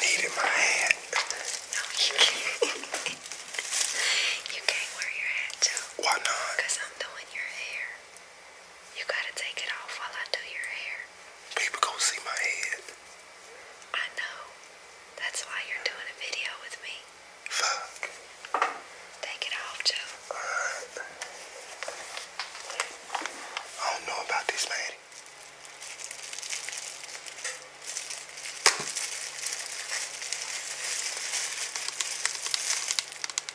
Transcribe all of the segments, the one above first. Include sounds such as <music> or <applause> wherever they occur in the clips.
Needed my hand. No, you can't. <laughs> you can't wear your hat too. Why not? Because I'm doing your hair. You gotta take it off while I do your hair. People gonna see my head. I know. That's why you're doing a video with me. Fuck. Take it off, Joe. Alright. I don't know about this, man.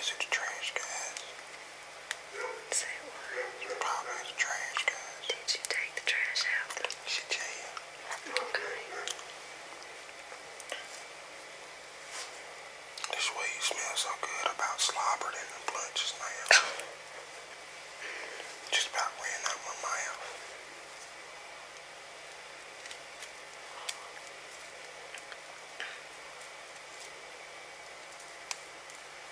Is it a trash, guys? Say what? You called me the trash guy. Did you take the trash out? She did. Okay. This way you smell so good about slobbering in the blood just now. <laughs> just about ran out my mouth.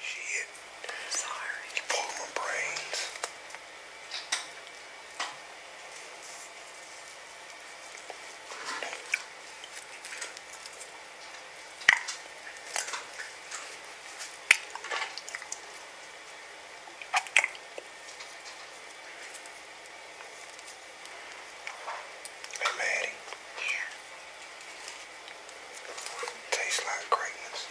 Shit. I'm sorry. You pulled my brains. I'm Maddie. Yeah. Tastes like greatness.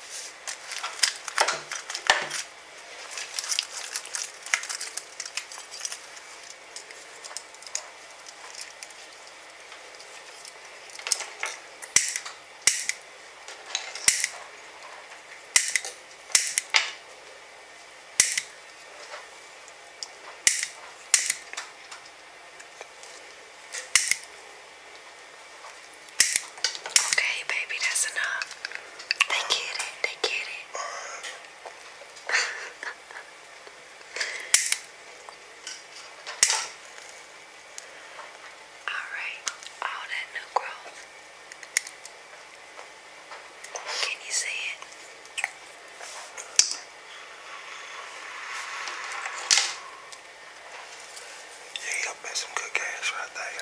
Okay, baby, that's enough. They get it, they get it. <laughs> Alright, all that new growth. Can you see it? Yeah, you got some good gas right there.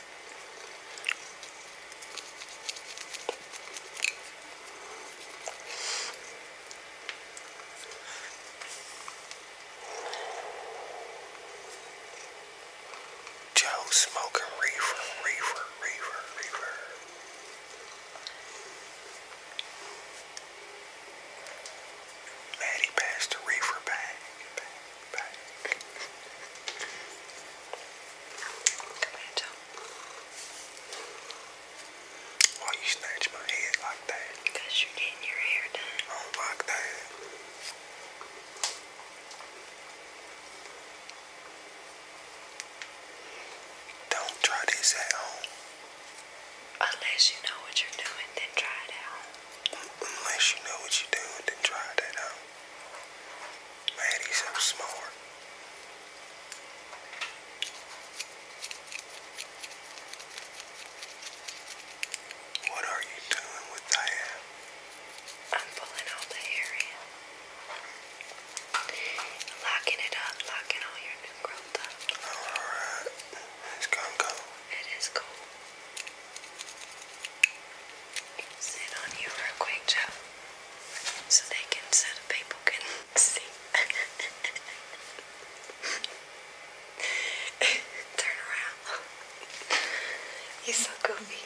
Joe smoking reefer, reefer, reefer, reefer. Maddie passed the reefer bag, bag, bag. Come here, Joe. Why you snatch my head like that? Because you're getting your hair done. don't like that. Don't try this at home. Unless you know what you're doing, then try it out. Unless you know what you're doing, then try that out. Man, he's so smart. What are you doing with that? I'm pulling out the area. Locking it up, locking all your new up. Alright. It's gonna go. It is cool sit on you real quick, Joe, so they can, so people can see. <laughs> Turn around. He's so goofy.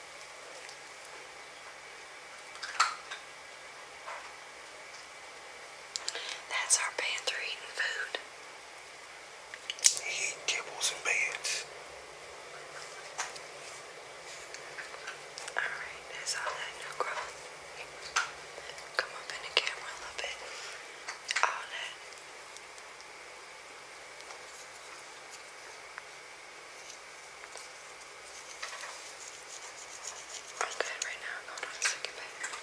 That's our Panther eating food. He eat kibbles and bands. Alright, that's all that new growth. Come up in the camera a little bit. All that I'm good right now, I'm going on a second bed. Okay.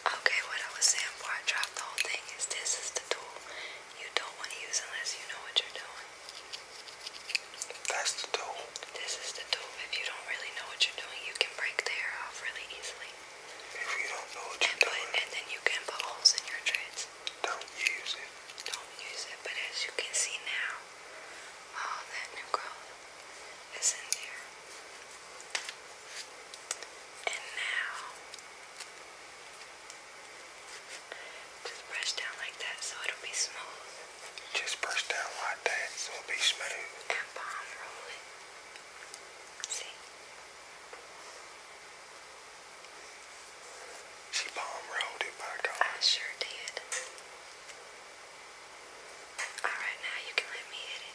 Okay, what I was saying before I dropped the whole thing is this is the tool you don't want to use unless you know what you're doing. That's the tool. This is the tool. If you don't really know what you're doing, you can break the hair off really easily. If you don't know what you're doing. Put, and then you can put holes in your dreads. Don't use it. Don't use it. But as you can see now, all that new growth is in there. And now, just brush down like that so it'll be smooth. Just brush down like that so it'll be smooth. And palm roll it. See? She palm rolled it back on. I sure did. Alright, now you can let me hit it.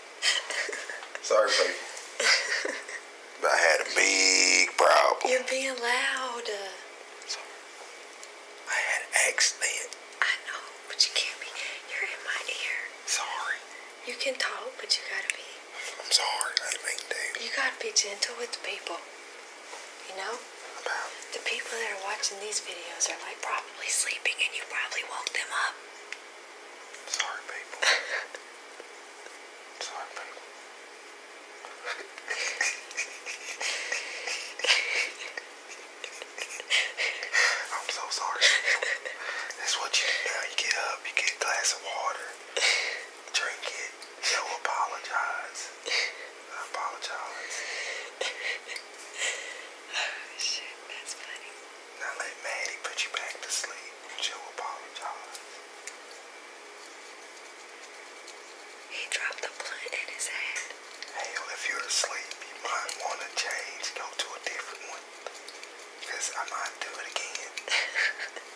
<laughs> Sorry, baby. I had a big problem. You're being loud. I had accident. I know, but you can't be. You're in my ear. Sorry. You can talk, but you gotta be. I'm sorry. I didn't mean to. You gotta be gentle with the people. You know? About? The people that are watching these videos are like probably sleeping and you probably woke them up. It's people. It's people. I'm so sorry. That's what you do now. You get up, you get a glass of water, drink it, you apologize. I apologize. Oh, shit, that's funny. Now let Maddie put you back to sleep. She'll apologize. He dropped the blunt in his hand. Hell, if you're asleep, you might want to change, go to a different one. Because I might do it again. <laughs> <laughs>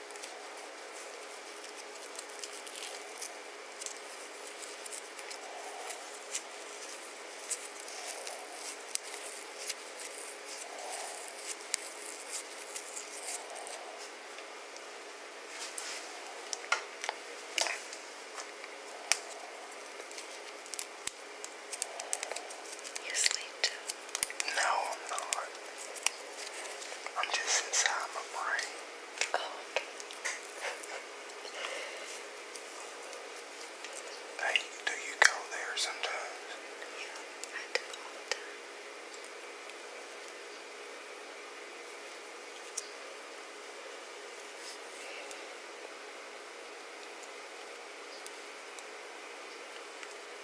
You sleep too. No, I'm not. I'm just inside my brain. Oh, hey, do you go there sometimes?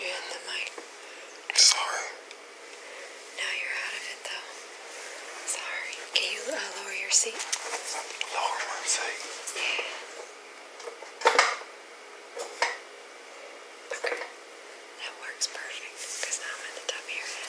You in the mic. Sorry. Now you're out of it though. Sorry. Can you uh, lower your seat? Lower my seat? Yeah. Okay. That works perfect because now I'm at the top of your head.